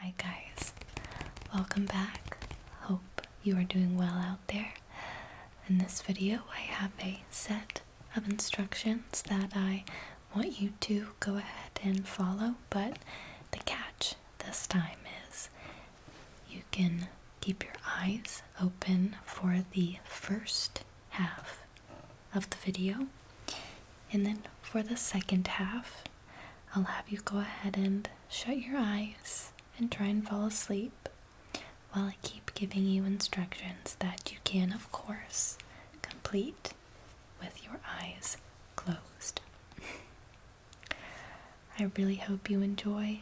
Hi guys, welcome back. Hope you are doing well out there. In this video I have a set of instructions that I want you to go ahead and follow, but the catch this time is you can keep your eyes open for the first half of the video and then for the second half I'll have you go ahead and shut your eyes and try and fall asleep while I keep giving you instructions that you can, of course, complete with your eyes closed. I really hope you enjoy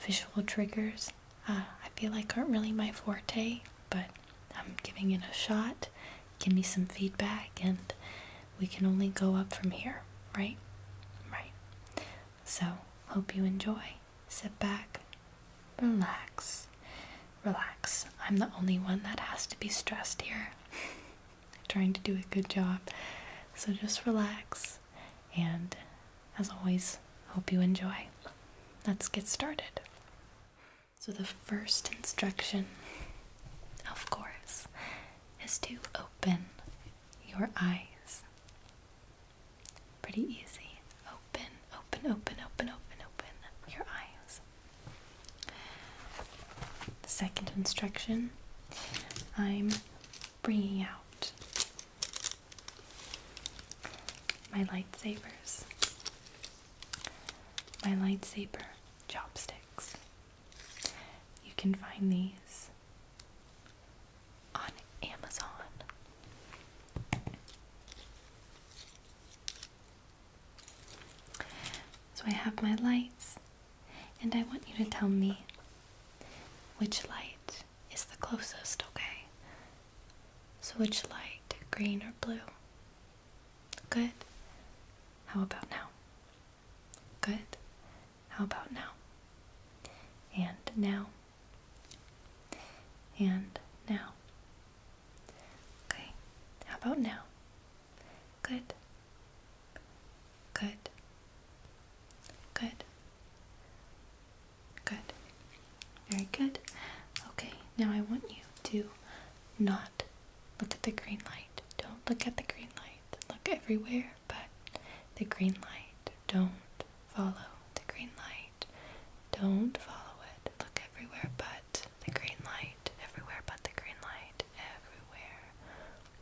visual triggers. Uh, I feel like aren't really my forte, but I'm giving it a shot give me some feedback and we can only go up from here, right? Right. So, hope you enjoy. Sit back, relax, relax. I'm the only one that has to be stressed here. Trying to do a good job. So, just relax and as always, hope you enjoy. Let's get started. So, the first instruction, of course, is to open your eyes. Pretty easy. Open, open, open, open, open, open your eyes. The second instruction, I'm bringing out my lightsabers, my lightsaber chopsticks. You can find these on Amazon. So I have my lights, and I want you to tell me which light is the closest, okay? So, which light, green or blue? Good. How about now? Good. How about now? And now. And now. Okay. How about now? Good. Good. Good. Good. Very good. Okay, now I want you to not Look at the green light. Don't look at the green light. Look everywhere but the green light. Don't follow the green light. Don't follow it. Look everywhere but the green light. Everywhere but the green light. Everywhere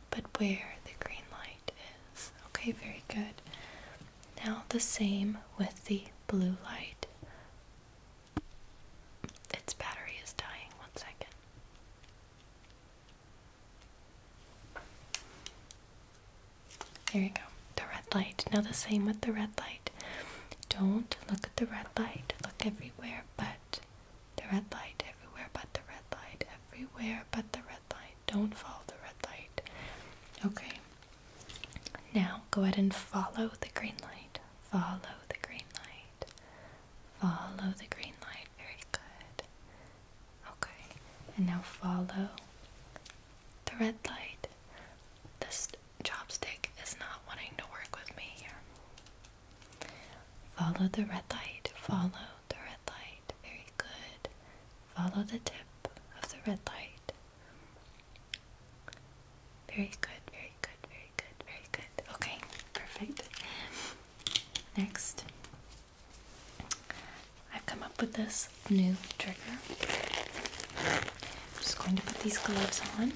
but where the green light is. Okay, very good. Now the same with the blue light. Its battery is dying. One second. There you go. The red light. Now, the same with the red light. Don't look at the red light. Look everywhere but the red light. Everywhere but the red light. Everywhere but the red light. Don't follow the red light. Okay. Now, go ahead and follow the green light. Follow the green light. Follow the green light. Very good. Okay. And now follow the red light. This chopstick is not wanting to work with me here. Follow the red light. Follow the red light. Very good. Follow the tip of the red light. Very good, very good, very good, very good. Okay, perfect. Next, I've come up with this new trigger. I'm just going to put these gloves on.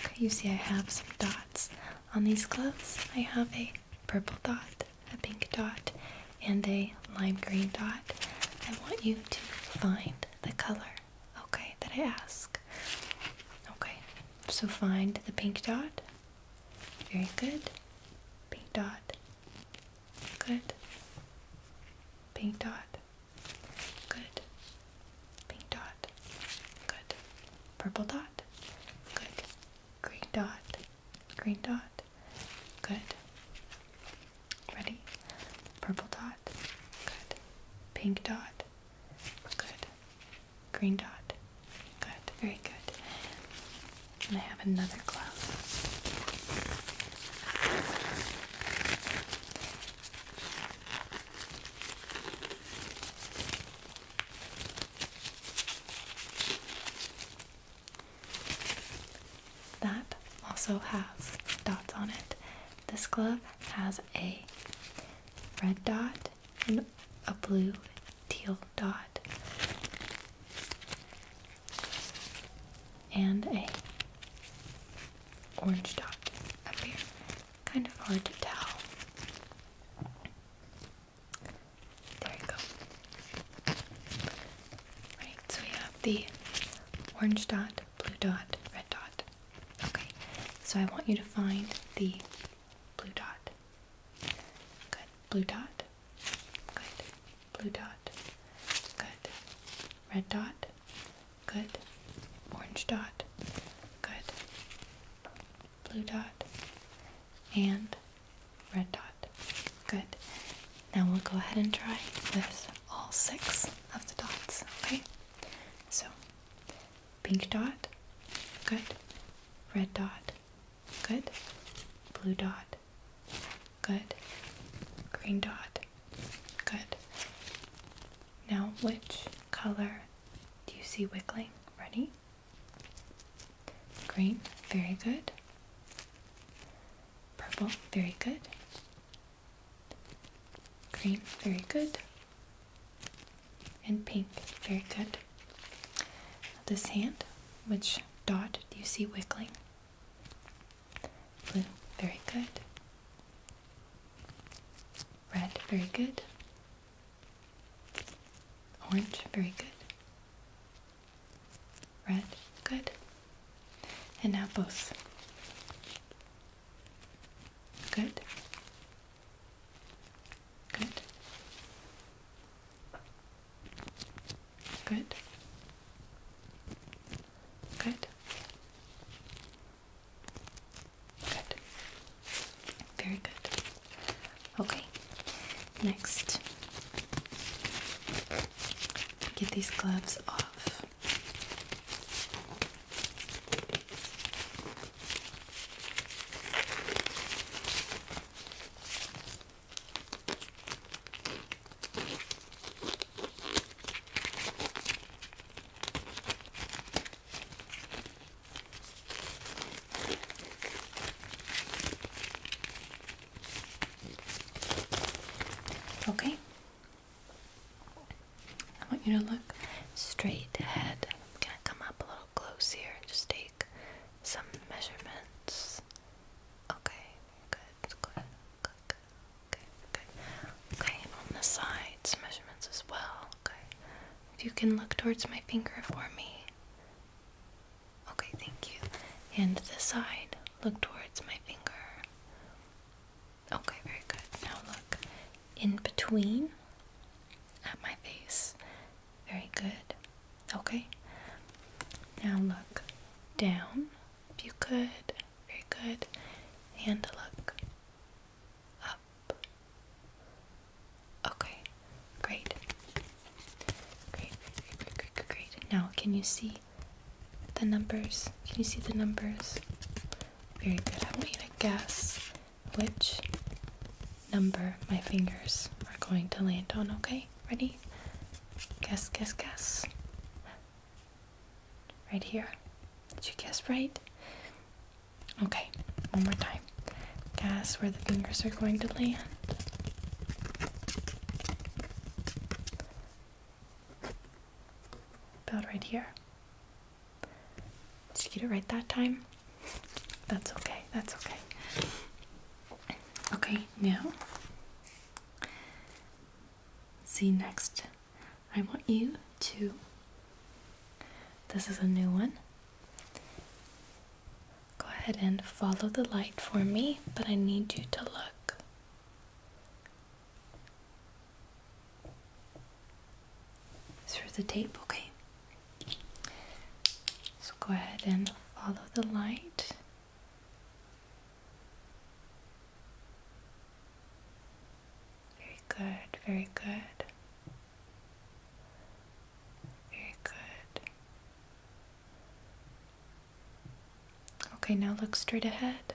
Okay, you see, I have some dots on these gloves. I have a purple dot, a pink dot, and a lime green dot, I want you to find the color, okay, that I ask. Okay, so find the pink dot. Very good. Pink dot. Good. Pink dot. Good. Pink dot. Good. Purple dot. Good. Green dot. Green dot. Good. Ready? Purple dot. Good. Pink dot. Good. Green dot. Good. Very good. And I have another cloud. That also has dots on it. This glove has a red dot and a blue teal dot and a orange dot up here. Kind of hard to tell. There you go so we have the orange dot, blue dot, red dot. Okay, so I want you to find the blue dot. Good, blue dot. Good, blue dot. Good, red dot. Good, orange dot. Good, blue dot. And red dot. Good. Now we'll go ahead and try with all six of the dots, okay? So, pink dot, good. Red dot, good. Blue dot, good. Green dot, good. Now, which color do you see wiggling? Ready? Green, very good. Purple, very good. Green, very good. And pink, very good. This hand, which dot do you see wiggling? Blue, very good. Red, very good. Orange, very good. Red. Good. And now both. Good. Good. Good. Good. Good. Very good. Okay. Next, get these gloves off. Okay? I want you to look straight ahead. I'm going to come up a little close here and just take some measurements. Okay, good, good, good, good. Okay, Okay, on the sides, measurements as well. Okay. If you can look towards my finger for me. Okay, thank you. And the side, look towards my finger. Okay, very good. Now look in between at my face. Very good. Okay. Now look down if you could. Very good. And look up. Okay, great. Great, great, great, great, great, Now, can you see the numbers? Can you see the numbers? Very good. I want you to guess which number my fingers are going to land on, okay? Ready? Guess, guess, guess. Right here. Did you guess right? Okay, one more time. Guess where the fingers are going to land. About right here. Did you get it right that time? That's okay, that's okay. Okay, now, see next, I want you to, this is a new one. Go ahead and follow the light for me, but I need you to look. Through the tape, okay. So go ahead and follow the light. Very good, very good. Very good. Okay, now look straight ahead.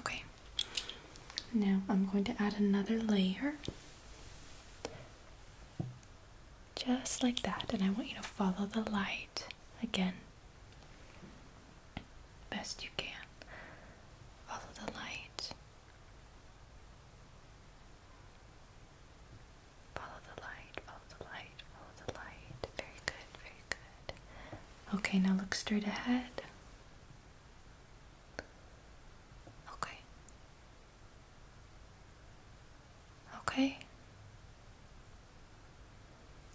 Okay, now I'm going to add another layer. Just like that, and I want you to follow the light again best you can. Follow the light. Follow the light, follow the light, follow the light. Very good, very good. Okay, now look straight ahead. Okay. Okay.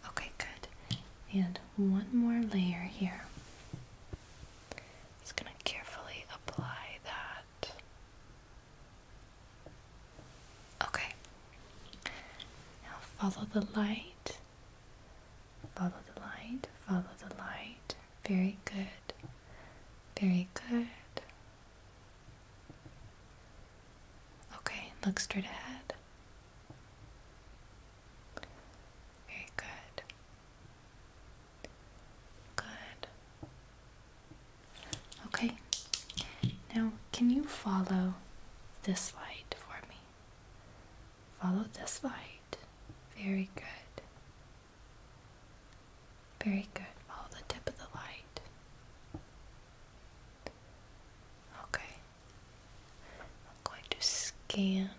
Okay, good. And one more layer here. Just going to carefully apply that. Okay. Now follow the light. Follow the light. Follow the light. Very good. Very good. Okay, look straight ahead. Very good. Good. Okay. Now, can you follow this light for me? Follow this light. Very good. Very good. Follow the tip of the light. Okay. I'm going to scan.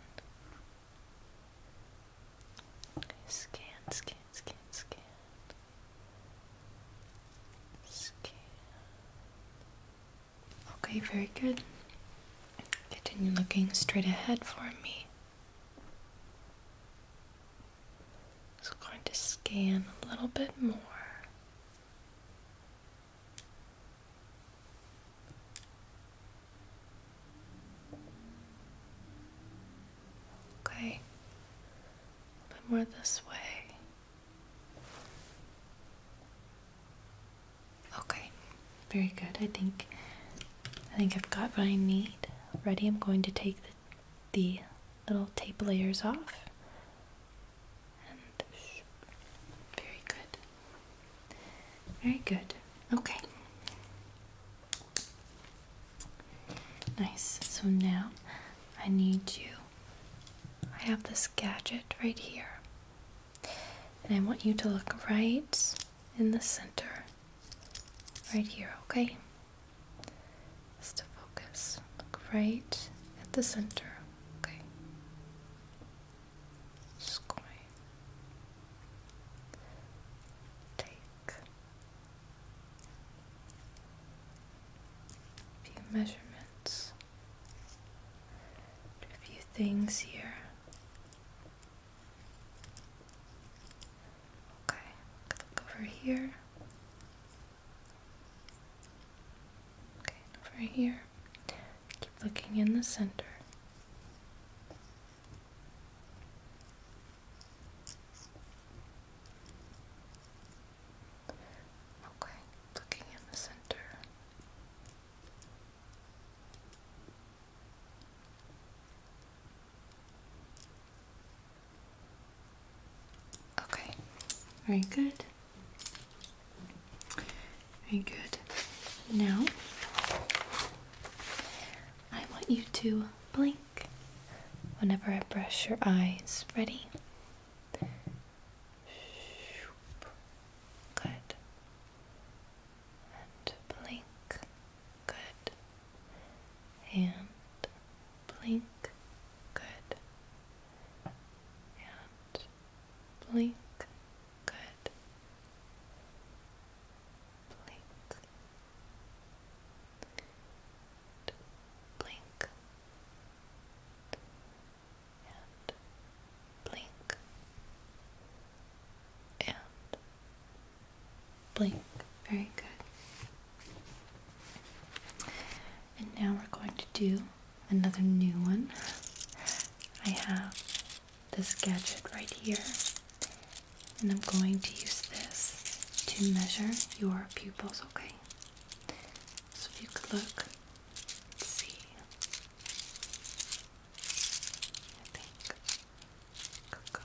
Scan, scan, scan, scan. Okay, very good. Continue looking straight ahead for me. I'm going to scan a little bit more. Okay, a bit more this way. Okay, very good. I think I think I've got what I need ready. I'm going to take the, the little tape layers off. And very good. Very good. Okay. Nice. So now I need you. I have this gadget right here. And I want you to look right in the center. Right here, okay? Just to focus. Look right at the center. Okay just going to take a few measurements, a few things here. Okay, look over here. Okay, over here. Keep looking in the center. Okay, looking in the center. Okay, very good. Very good. Now, I want you to blink whenever I brush your eyes. Ready? Good. And blink. Good. And blink. Good. And blink, good, blink, and blink, and blink, Very good. And now we're going to do another new one. I have this gadget right here. And I'm going to use this to measure your pupils, okay? So if you could look, see. I think Coco.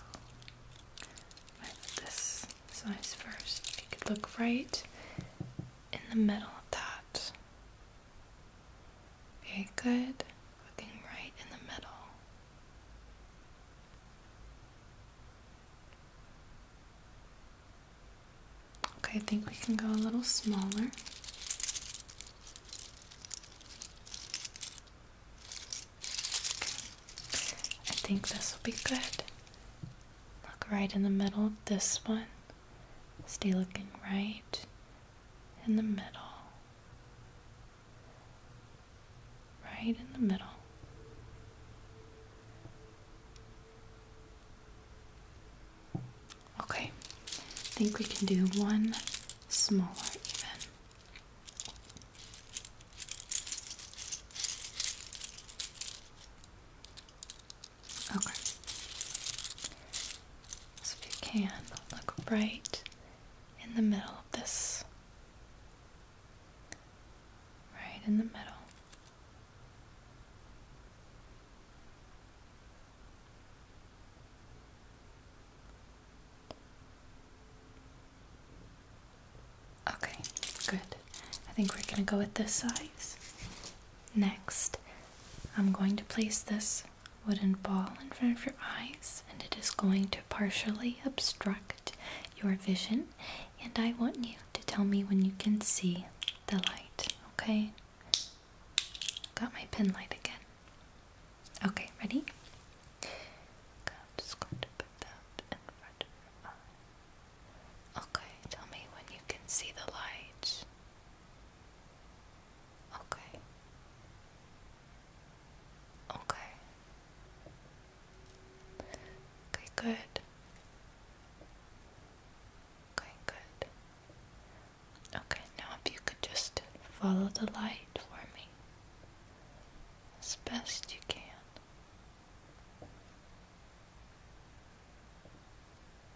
I put this size first. you could look right in the middle of that. Very good. Looking right in the middle. Okay, I think we can go a little smaller. I think this will be good. Look right in the middle of this one. Stay looking right in the middle. Right in the middle. Okay, I think we can do one smaller even. Okay. So if you can, look right in the middle of this. Right in the middle. Okay, good. I think we're going to go with this size. Next, I'm going to place this wooden ball in front of your eyes, and it is going to partially obstruct your vision. And I want you to tell me when you can see the light, okay? Got my pen light again. Okay, ready? I'm just going to put that in front of your eye. Okay, tell me when you can see the light. Okay. Okay. Okay, good. Okay, good. Okay, now if you could just follow the light for me as best you can. Okay,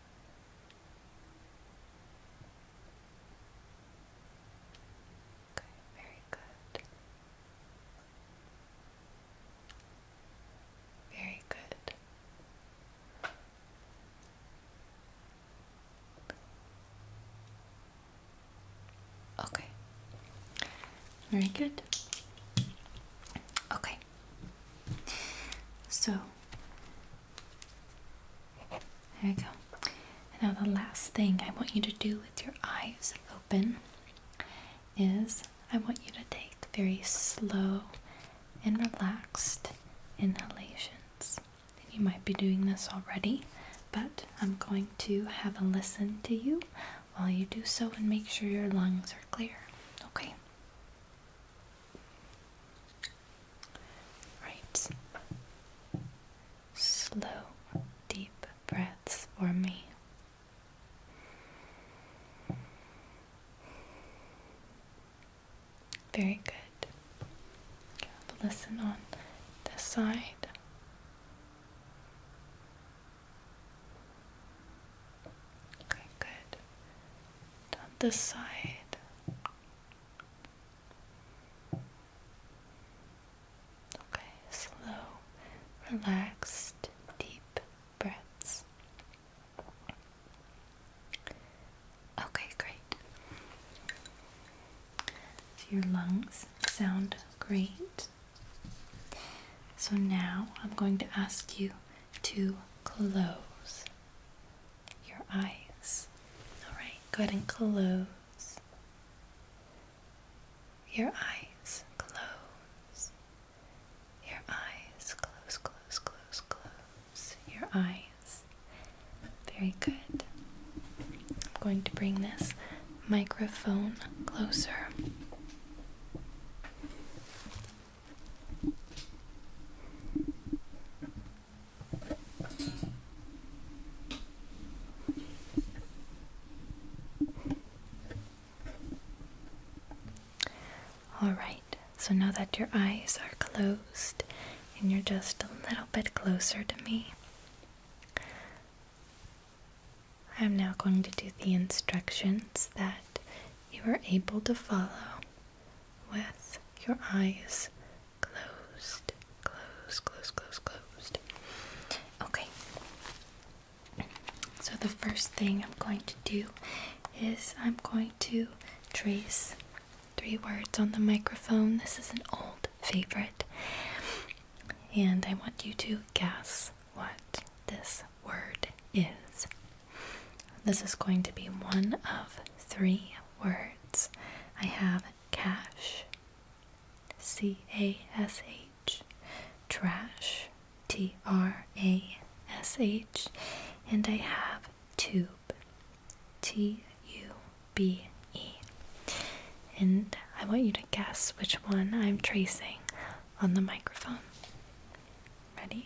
very good. Very good. Okay. Very good. Okay. So, there you go. now the last thing I want you to do with your eyes open is I want you to take very slow and relaxed inhalations. You might be doing this already, but I'm going to have a listen to you while you do so and make sure your lungs are clear. Okay. Right. Slow, deep breaths for me. Very good. Listen on this side. Okay, good. On this side. Okay, slow, relaxed, deep breaths. Okay, great. your lungs sound great. So now I'm going to ask you to close your eyes. Alright, go ahead and close your eyes. Close your eyes. Close, close, close, close your eyes. Very good. I'm going to bring this microphone closer. All right, so now that your eyes are closed and you're just a little bit closer to me, I'm now going to do the instructions that you are able to follow with your eyes closed, closed, closed, closed, closed. Okay. So the first thing I'm going to do is I'm going to trace three words on the microphone. This is an old favorite. And I want you to guess what this word is. This is going to be one of three words. I have cash, C A S H, trash, T R A S H, and I have tube, T U B E. And I want you to guess which one I'm tracing on the microphone. Ready?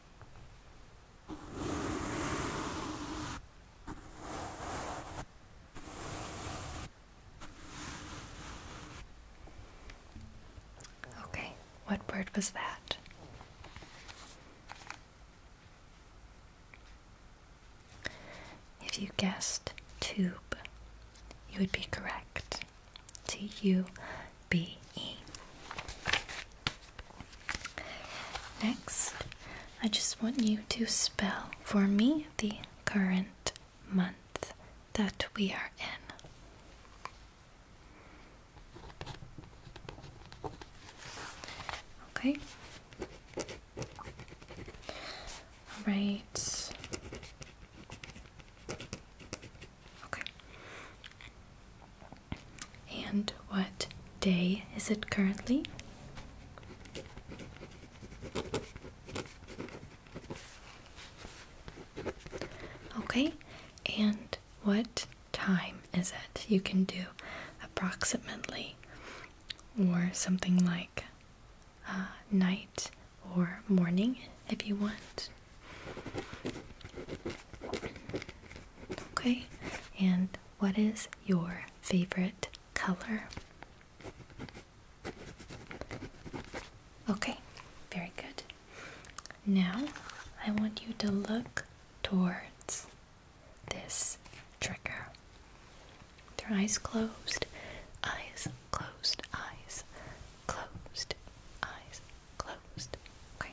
Okay, what word was that? If you guessed tube, you would be correct. T U B E. Next, I just want you to spell for me the current month that we are in. Okay. All right. Okay. And what day is it currently? Okay, and what time is it? You can do approximately or something like uh, night or morning if you want. Okay, and what is your favorite color? Okay, very good. Now I want you to look towards this trigger. With eyes closed, eyes closed, eyes closed, eyes closed. Okay.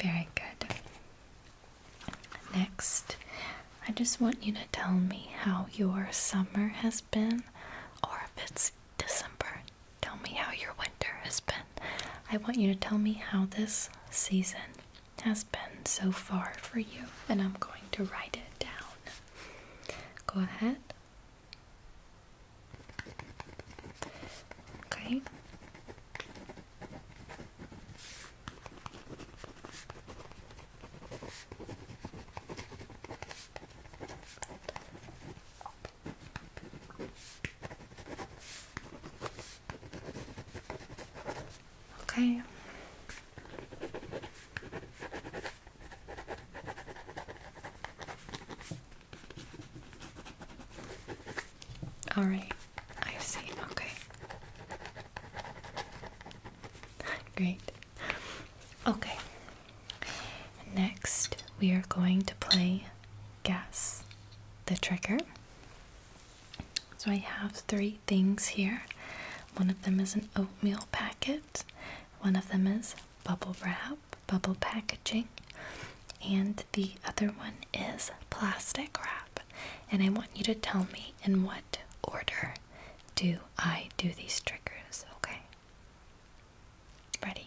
Very good. Next, I just want you to tell me how your summer has been, or if it's December, tell me how your winter has been. I want you to tell me how this season has been so far for you, and I'm going to write it down. Go ahead. Okay. Okay. All right, I see. Okay. Great. Okay. Next, we are going to play Guess the Trigger. So I have three things here. One of them is an oatmeal packet. One of them is bubble wrap, bubble packaging, and the other one is plastic wrap. And I want you to tell me in what order do I do these triggers, okay? Ready?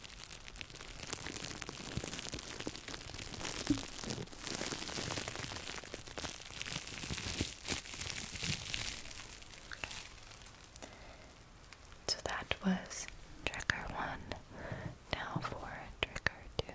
So that was trigger one. Now for trigger two.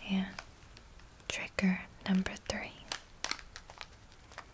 Okay. trigger number three.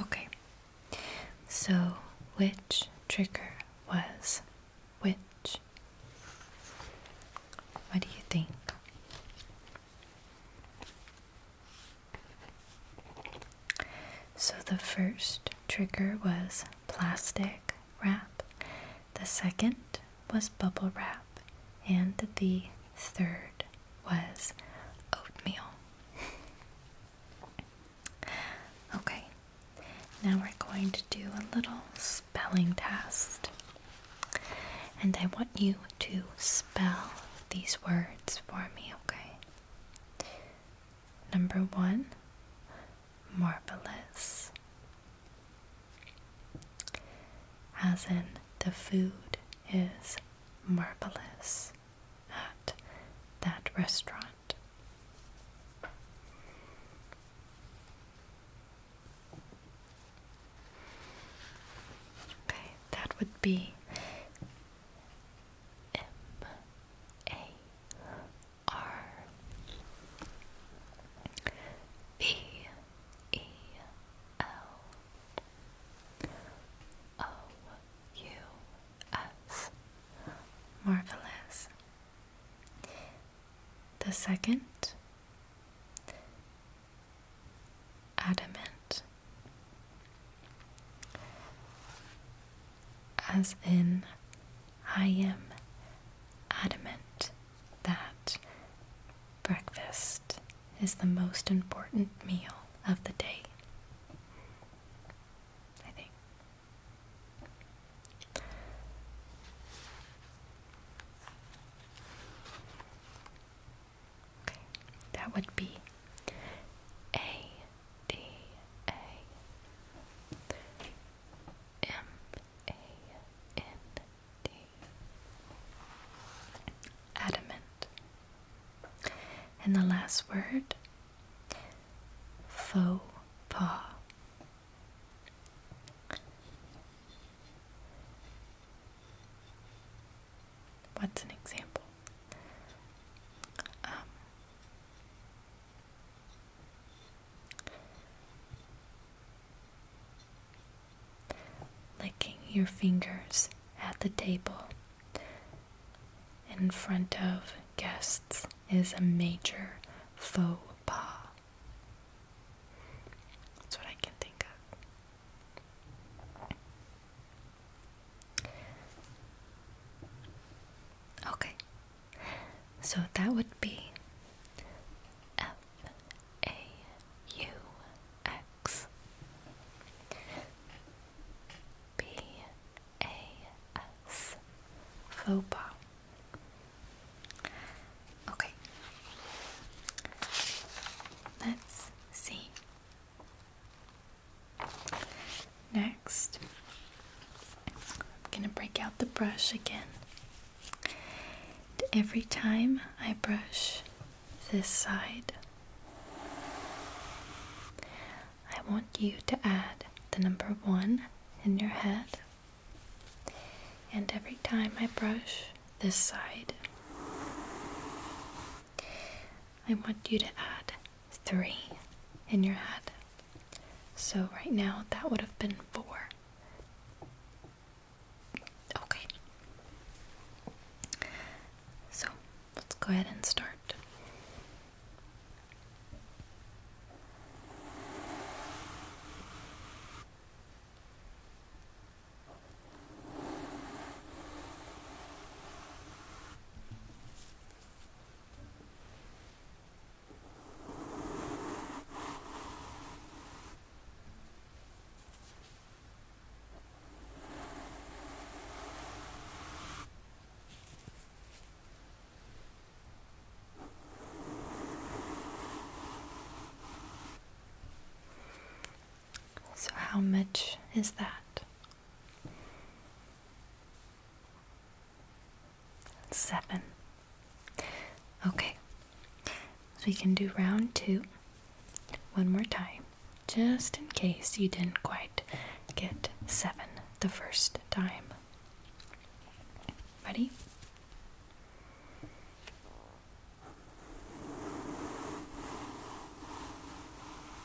Okay, so which trigger was which? What do you think? So the first trigger was plastic wrap, the second was bubble wrap, and the third was oatmeal. okay, now we're going to do a little spelling test. And I want you to spell these words for me, okay? Number one, marvelous, as in the food is marvelous at that restaurant. Okay, that would be M A R B E L O U S Marvelous. The second adamant as in, I am adamant that breakfast is the most important meal of the day. I think. Okay, that would be A D A M A N D. Adamant. And the last word faux pas. What's an example? Um, licking your fingers at the table in front of guests is a major faux pas. That's what I can think of. Okay, so that would be F A U X B A S Okay, let's see Next, I'm going to break out the brush again. every time I brush this side, I want you to add the number one in your head. And every time I brush this side, I want you to add 3 in your head. So right now that would have been 4. Okay. So let's go ahead and start. So, how much is that Seven. Okay, so we can do round two one more time, just in case you didn't quite get seven the first time. Ready?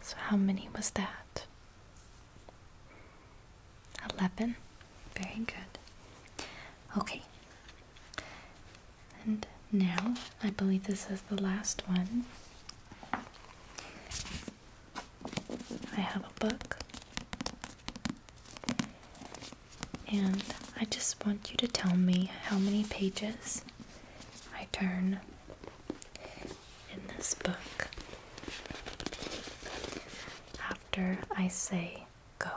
So, how many was that? Eleven. Very good. Okay. And now, I believe this is the last one. I have a book. And I just want you to tell me how many pages my turn in this book after I say go.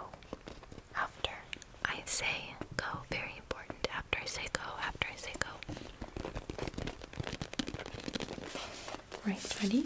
After I say go, very important. After I say go, after I say go. Right, ready?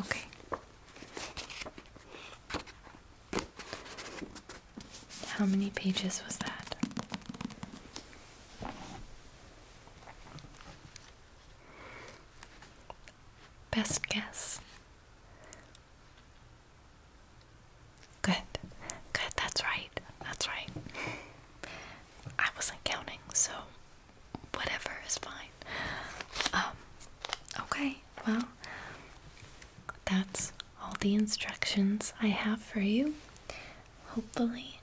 Okay. How many pages was that? Best guess. Good. Good, that's right. That's right. I wasn't counting, so whatever is fine. Um, okay, well that's all the instructions I have for you. Hopefully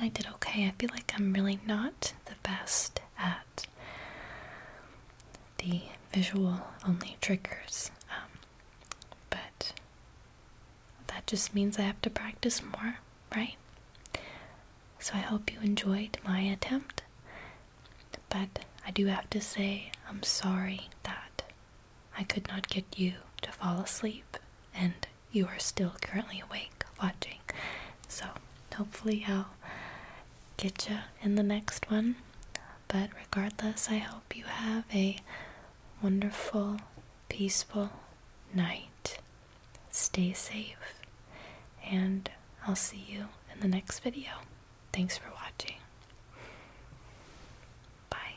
I did okay. I feel like I'm really not the best at the visual only triggers. Um, but that just means I have to practice more, right? So I hope you enjoyed my attempt. But I do have to say, I'm sorry that I could not get you to fall asleep and you are still currently awake watching. So hopefully I'll get you in the next one. But regardless, I hope you have a wonderful, peaceful night. Stay safe, and I'll see you in the next video. Thanks for watching. Bye.